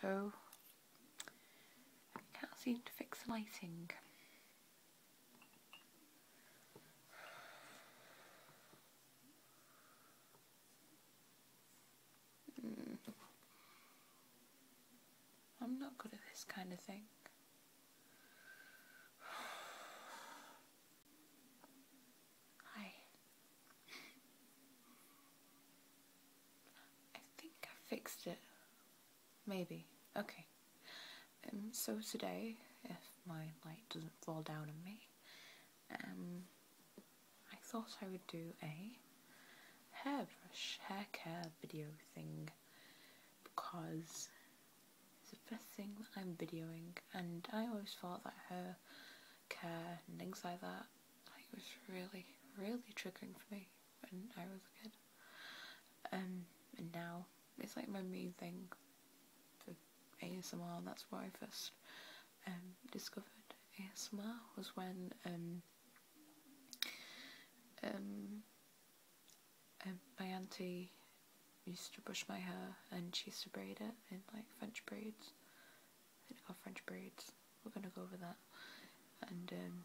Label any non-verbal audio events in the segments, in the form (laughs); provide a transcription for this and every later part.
Hello. I can't seem to fix the lighting. Mm. I'm not good at this kind of thing. Hi. I think I fixed it. Maybe. Okay. Um, so today, if my light doesn't fall down on me, um, I thought I would do a hairbrush, hair care video thing because it's the first thing that I'm videoing and I always thought that her care and things like that. it was really, really triggering for me when I was a kid. Um, and now it's like my main thing for ASMR. And that's where I first um, discovered ASMR was when um, um, um, my auntie used to brush my hair and she used to braid it in like French braids I think I French braids. We're gonna go over that. And um,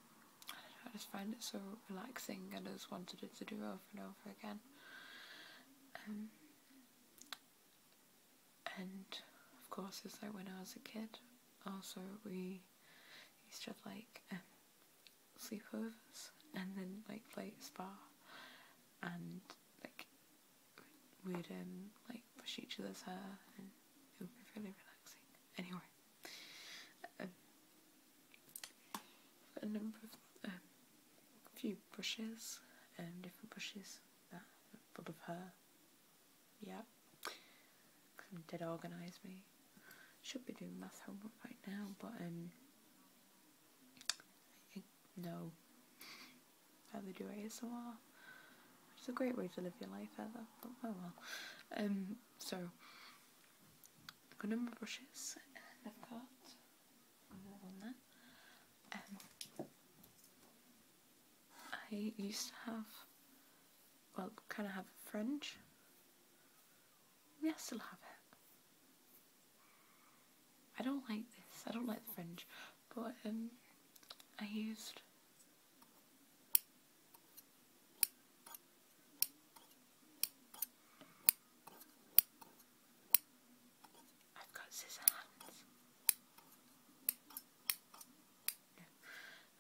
I, just find it so relaxing and I just wanted it to do over and over again. Um, and of course it's like when I was a kid also we used to have like um, sleepovers and then like play at spa and like we'd um, like brush each other's hair and it would be really relaxing. Anyway, um, a number of, um, few brushes, um, different brushes that full of hair. Yeah, did organise me. Should be doing math homework right now, but um, no, how they do ASMR, which is a great way to live your life, Either, but oh, oh well. Um, so, I've got a number of brushes, and I've got um, I used to have, well, kind of have a fringe. Yes, I still have it. I don't like this, I don't like the fringe, but um, I used I've got scissor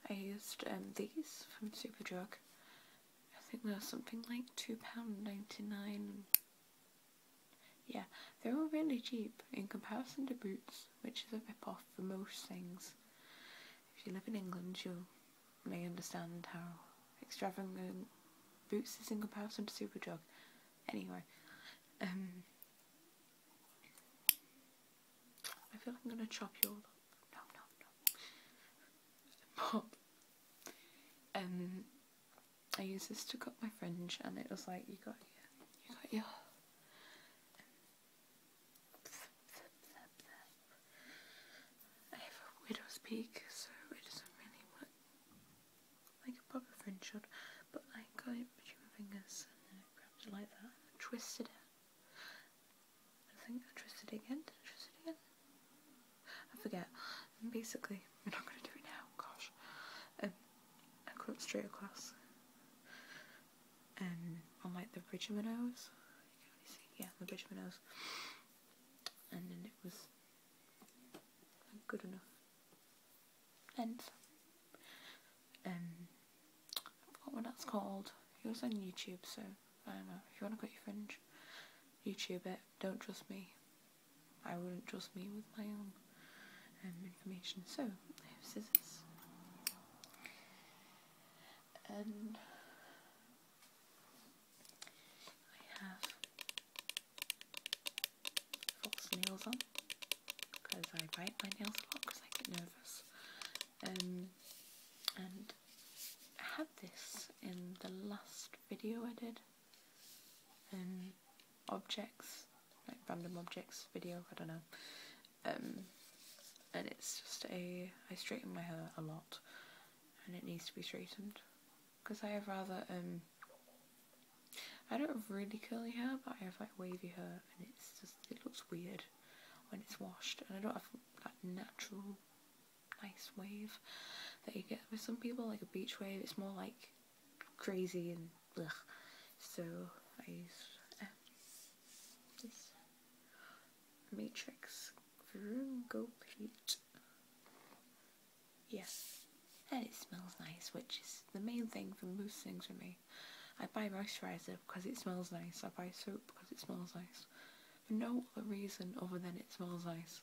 I used um, these from Superdrug. I think they were something like £2.99. Yeah, they were really cheap in comparison to boots which is a rip-off for most things. If you live in England, you may understand how extravagant Boots is in comparison to Superdrug. Anyway, um, I feel like I'm going to chop you all up. No, no, no. Pop. Um, I used this to cut my fringe, and it was like, you got your, you got your I have a widow's peak, so it doesn't really work like a proper fringe should, but I got it between my fingers and then I grabbed it like that and twisted it. I think I twisted it again. Did I twist it again? I forget. And basically, we're not going to do it now, gosh. Um, I cut straight across and on like the Bridge Minnows. Yeah, the Bridge Minnows. And then it was good enough length. Um, I forgot what that's called. It was on YouTube, so I don't know. If you want to cut your fringe, YouTube it. Don't trust me. I wouldn't trust me with my own. And information. So, I have scissors. And I have false nails on because I bite my nails a lot because I get nervous. Um, and I had this in the last video I did. Um, objects random objects video, I don't know. Um, and it's just a, I straighten my hair a lot and it needs to be straightened because I have rather, um, I don't have really curly hair but I have like wavy hair and it's just, it looks weird when it's washed and I don't have that natural nice wave that you get with some people like a beach wave, it's more like crazy and Blech. So I use eh. matrix room go paint. Yes. And it smells nice, which is the main thing for most things for me. I buy moisturiser because it smells nice. I buy soap because it smells nice. For no other reason other than it smells nice.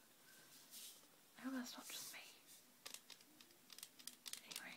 I hope that's not just me. Anyway.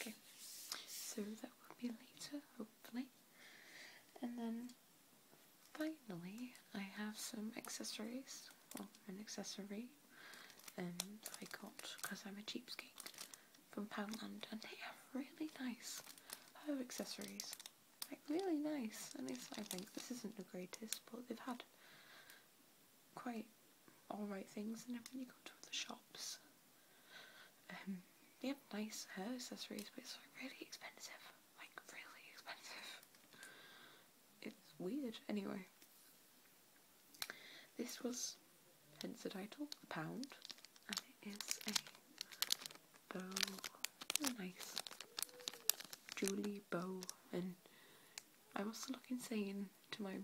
Okay, so that will be later, hopefully. And then finally, I have some accessories. Well, an accessory and I got because I'm a cheapskate from Poundland, and they are really nice hair accessories. Like, really nice. And it's, I think, this isn't the greatest, but they've had quite alright things and when you go to the shops. Um, they have nice hair accessories but it's really expensive. Like really expensive. It's weird. Anyway. This was, hence the title, a pound. And it is a bow. A nice Julie bow and I must look insane to my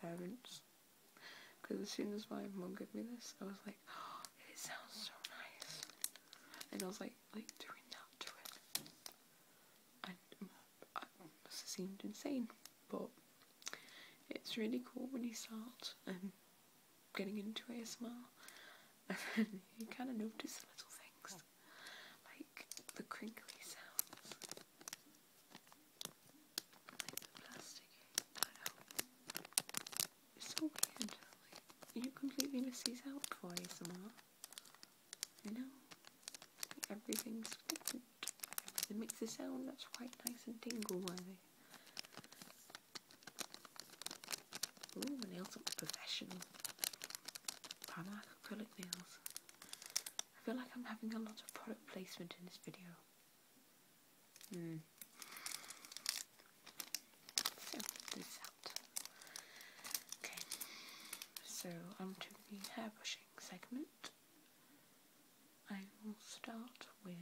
parents. Because as soon as my mom gave me this, I was like, (gasps) it sounds so nice. And I was like, like doing that to it. And I seemed insane, but it's really cool when you start um, getting into a ASMR (laughs) and you kind of notice the little things like the crinkly sounds. Like the plasticky. It's so weird. you completely miss these out for ASMR. You know? Everything's different. Everything makes a sound that's quite nice and tingle worthy. Ooh, my nails look professional. Primark acrylic nails. I feel like I'm having a lot of product placement in this video. Mm. So, this out. Okay, so on to the hairbrushing segment. I will start with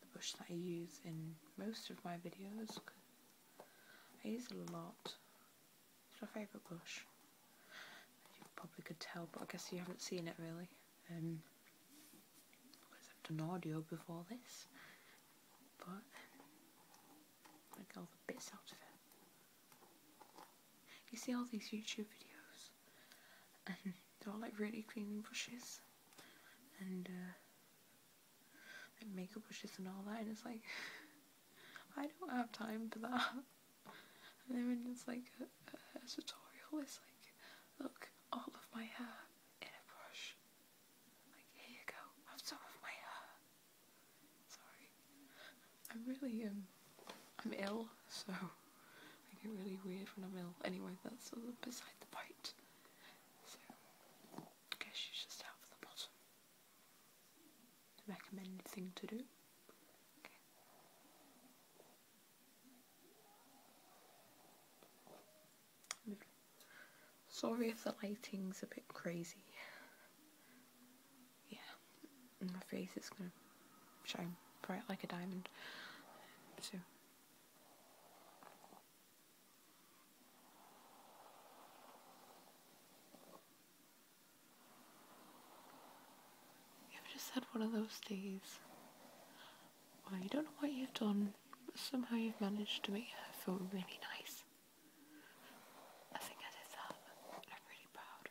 the brush that I use in most of my videos. I use a lot it's my favourite blush. you probably could tell, but I guess you haven't seen it really. Um, because I've done audio before this. But, I get all the bits out of it. You see all these YouTube videos, and they're all like really clean brushes, and uh, like makeup brushes and all that, and it's like (laughs) I don't have time for that. And then when it's like a, tutorial, it's like, look, all of my hair in a brush. Like, here you go, have some of my hair. Sorry. I'm really, um, I'm ill, so I get really weird when I'm ill. Anyway, that's beside the point. So, I guess you should start from the bottom recommended thing to do. Sorry if the lighting's a bit crazy. Yeah, my face is gonna shine bright like a diamond. So. You have just had one of those days where you don't know what you've done, but somehow you've managed to make her feel really nice? I think I did I'm really proud.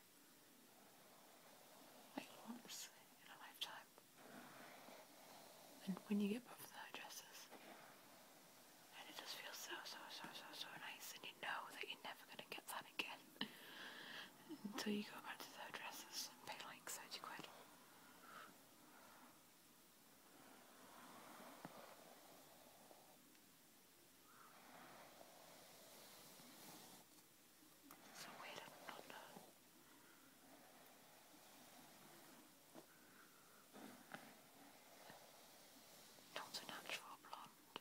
Like once in a lifetime. And when you get back from the hairdressers, and it just feels so, so, so, so, so nice, and you know that never going to get that again until you go back to the hairdressers and pay like 30 quid. Uh, so weird, I do not know. natural blonde.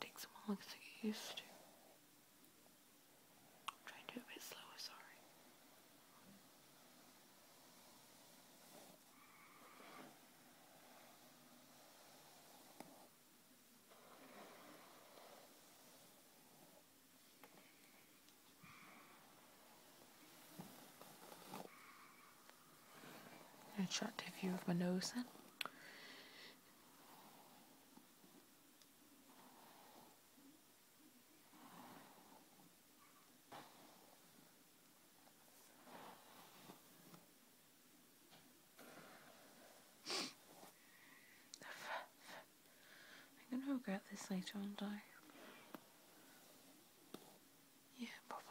Takes some longer to get used to. I'm trying to do a bit slower, sorry shot attractive view of my nose then. I'm gonna regret this later, aren't I? Yeah, probably.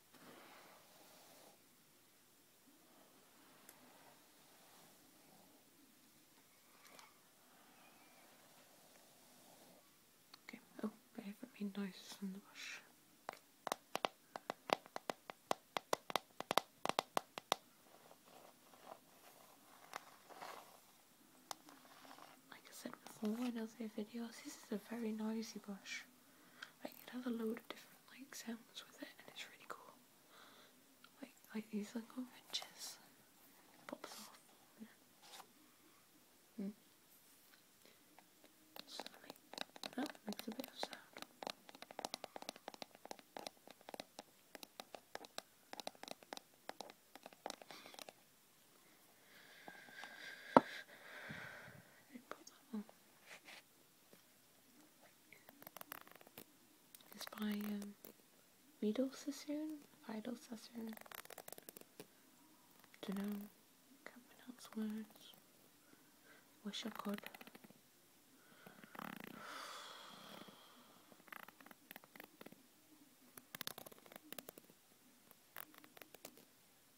Okay, oh, I haven't made noises in the brush. Like I said before in other videos, this is a very noisy bush. It has a load of different like sounds with it, and it's really cool. Like like these little wrenches, pops off. Hmm. Didn't by um, Vidal Sassoon? Vidal Sassoon? Don't know. Can't pronounce words. Wish I could.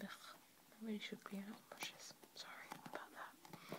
Ugh, really should be out brushes. Sorry about that.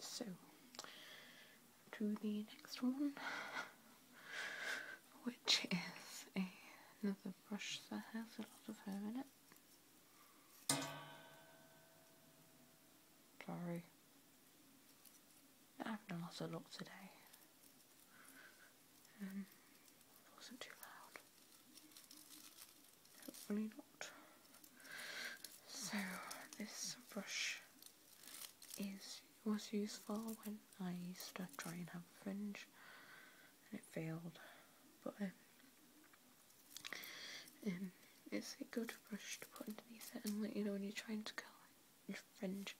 so to the next one, which is another brush that has a lot of hair in it. Sorry. I haven't lost a lot today. it um, wasn't too loud. Hopefully not. So this brush is was useful when I used to try and have a fringe and it failed. But um, um, it's a good brush to put underneath it and let you know when you're trying to curl your fringe.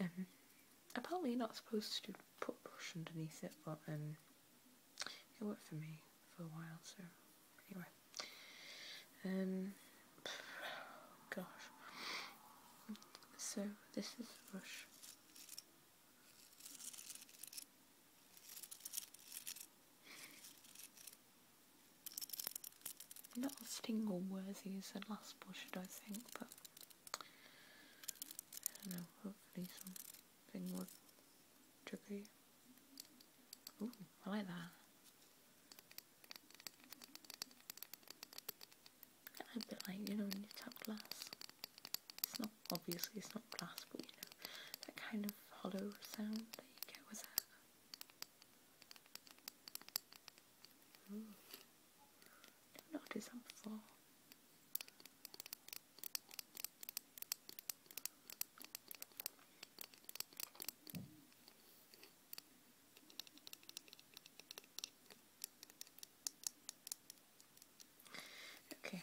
Um, apparently you're not supposed to put brush underneath it, but um, it worked for me for a while, so anyway. gosh. So this is the brush. Not as tingle worthy as the last Should I think, but I know, hopefully something would trigger Ooh, I like that. A bit like, you know, when you tap glass. It's not, obviously it's not glass, but you know, that kind of hollow sound that you get with that. Ooh. Don't notice I'm full. Okay,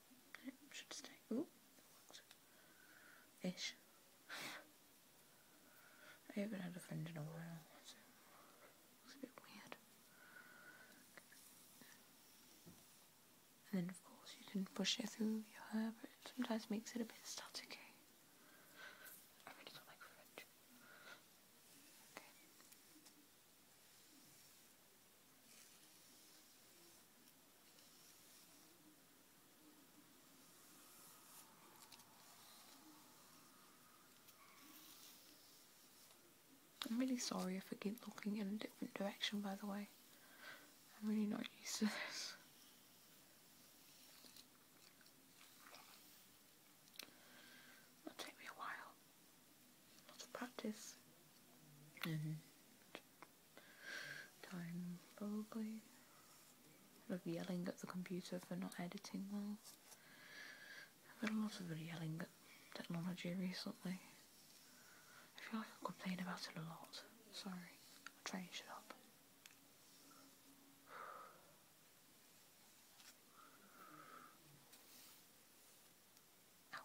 should stay. Ooh, Ish. I haven't had a friend in a while, it's a bit weird. And then of course you can push it through your hair, but it sometimes makes it a bit staticky. I really don't like French. I'm really sorry if I keep looking in a different direction by the way. I'm really not used to this. That'll take me a while. Lots of practice. And mm-hmm time probably of yelling at the computer for not editing well. I've been a lot of yelling at technology recently. I feel like I am complaining about it a lot. Sorry. I'll change it up. Ow.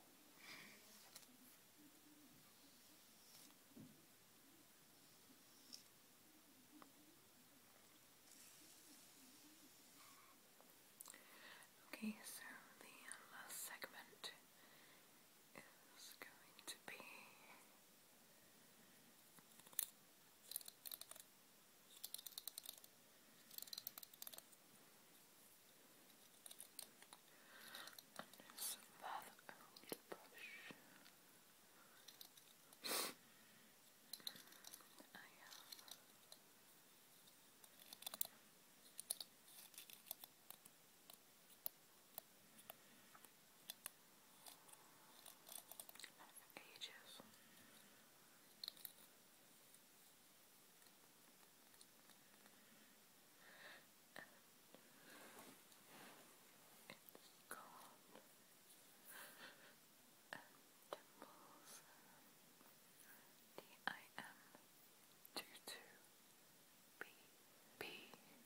Okay, so the last segment is going to be. And some rather old brush. Ages it's cold and dimples D-I-M 22-B-B Dimples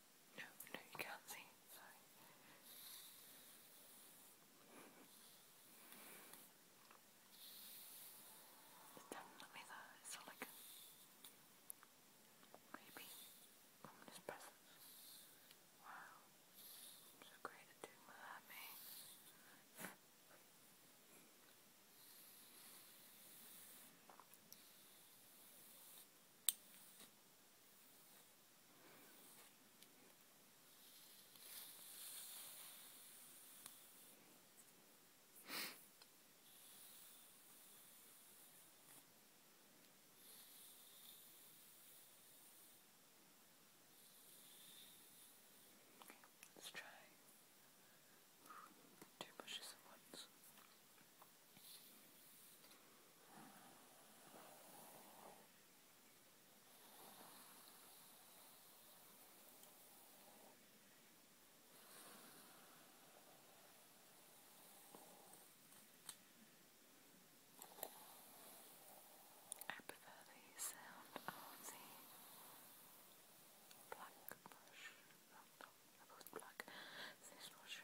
No, no, you can't see. Sorry. It's definitely there. It's not like a creepy ominous presence. Wow. I'm so great at doing my hair, me. Let's try two bushes at once. I prefer the sound of the black brush. Oh, no, black. This brush.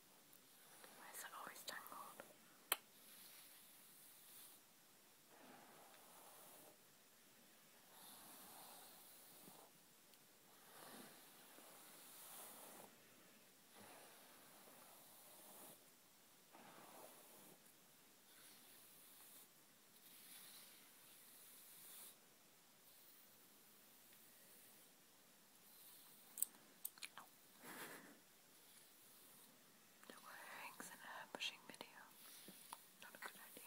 Why is it always tangled? Oh. The wearings in a pushing video. Not a good idea.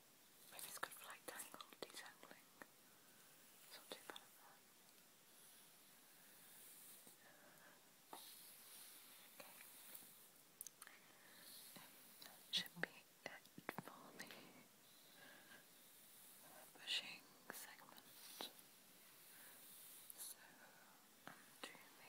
Maybe it's good for like detangling. not too bad at that. Okay. should be it pushing segment. So, undo the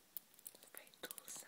It's a very dull sound.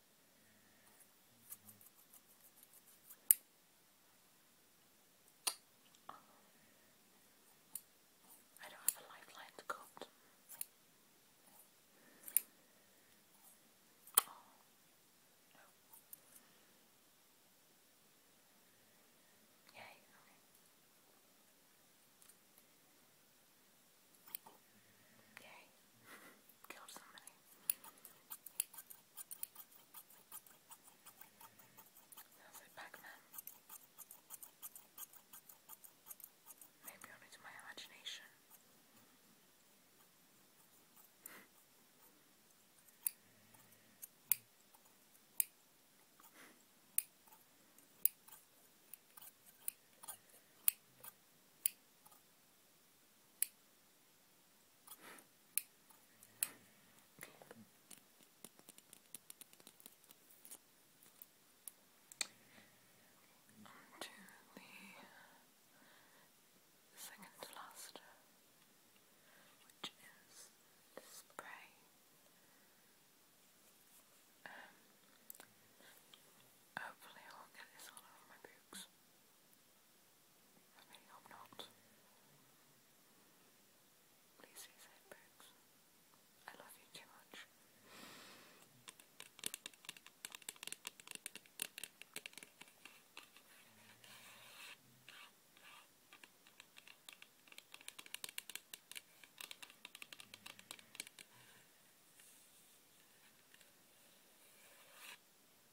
I don't have a lifeline to go up to. Oh. No. Yay, okay. Yay. Killed somebody. Sounds like Pac-Man. Maybe only my imagination. On to the second last, which is the spray. Um, hopefully, I'll get this all over my books. I really hope not. Please say safe, folks. I love you too much.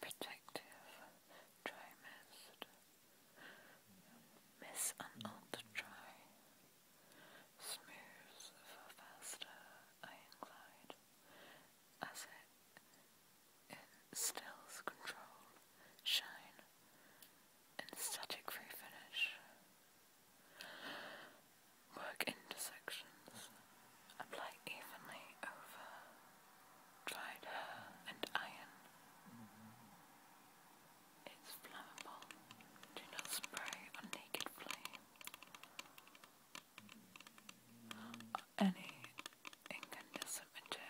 protective trimest, miss an old try, smooth for faster I incline, as it instills control, shine, and static refinish work intersections, apply evenly over dried hair and iron. It's flammable. Do not spray on naked flame or any incandescent material.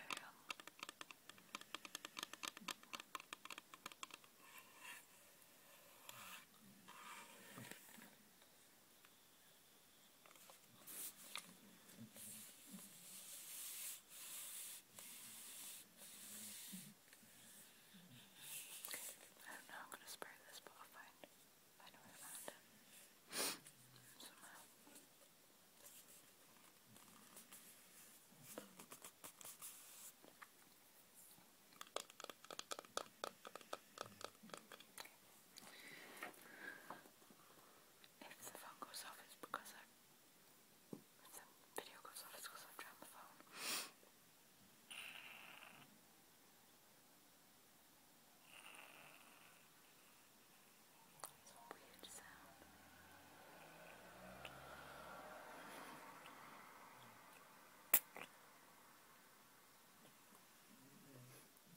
I don't know how I'm going to spray this, but I'll find, find a way around it somehow. Okay. If the phone goes off, it's because I. If the video goes off, it's because I'm trying the phone. weird sound.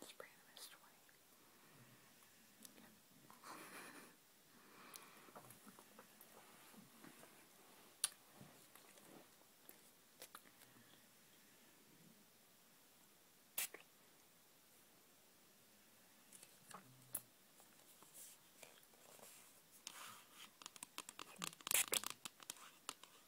and spray the mist away.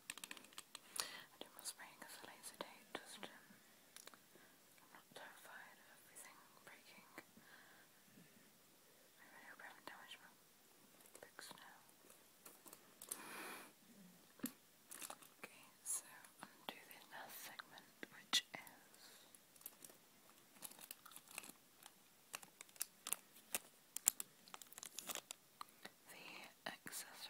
I did spraying as a laser date, just um, I'm not terrified of everything breaking. I really hope I haven't damaged my now. Okay, so undo this last segment, which is. The accessory.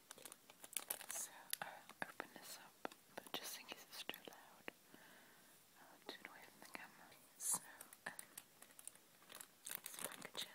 So I'll uh, open this up, but just in case it's too loud, I'll do it away from the camera. So, um, it's packaging.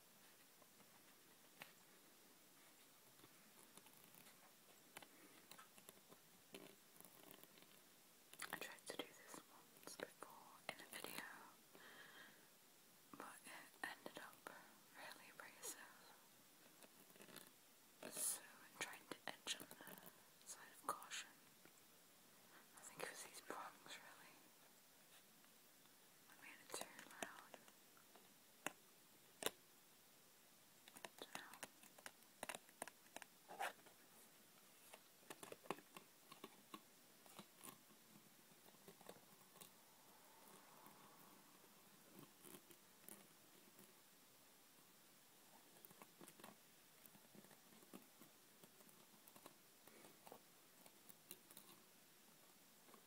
I tried to do this once before in a video, but it ended up really abrasive. So I'm trying to edge on the side of caution. I think it was these prongs, really. I made it too loud.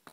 Now.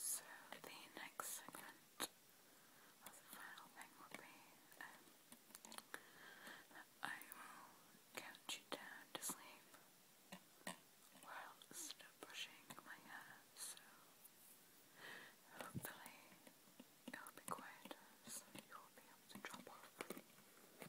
So the next segment the final thing will be um, I will count you down to sleep whilst brushing my hair, so hopefully it'll be quieter so you'll be able to drop off easier.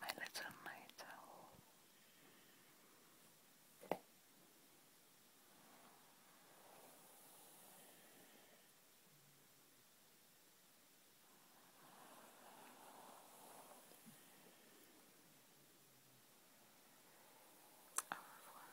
my little night owl. Au revoir.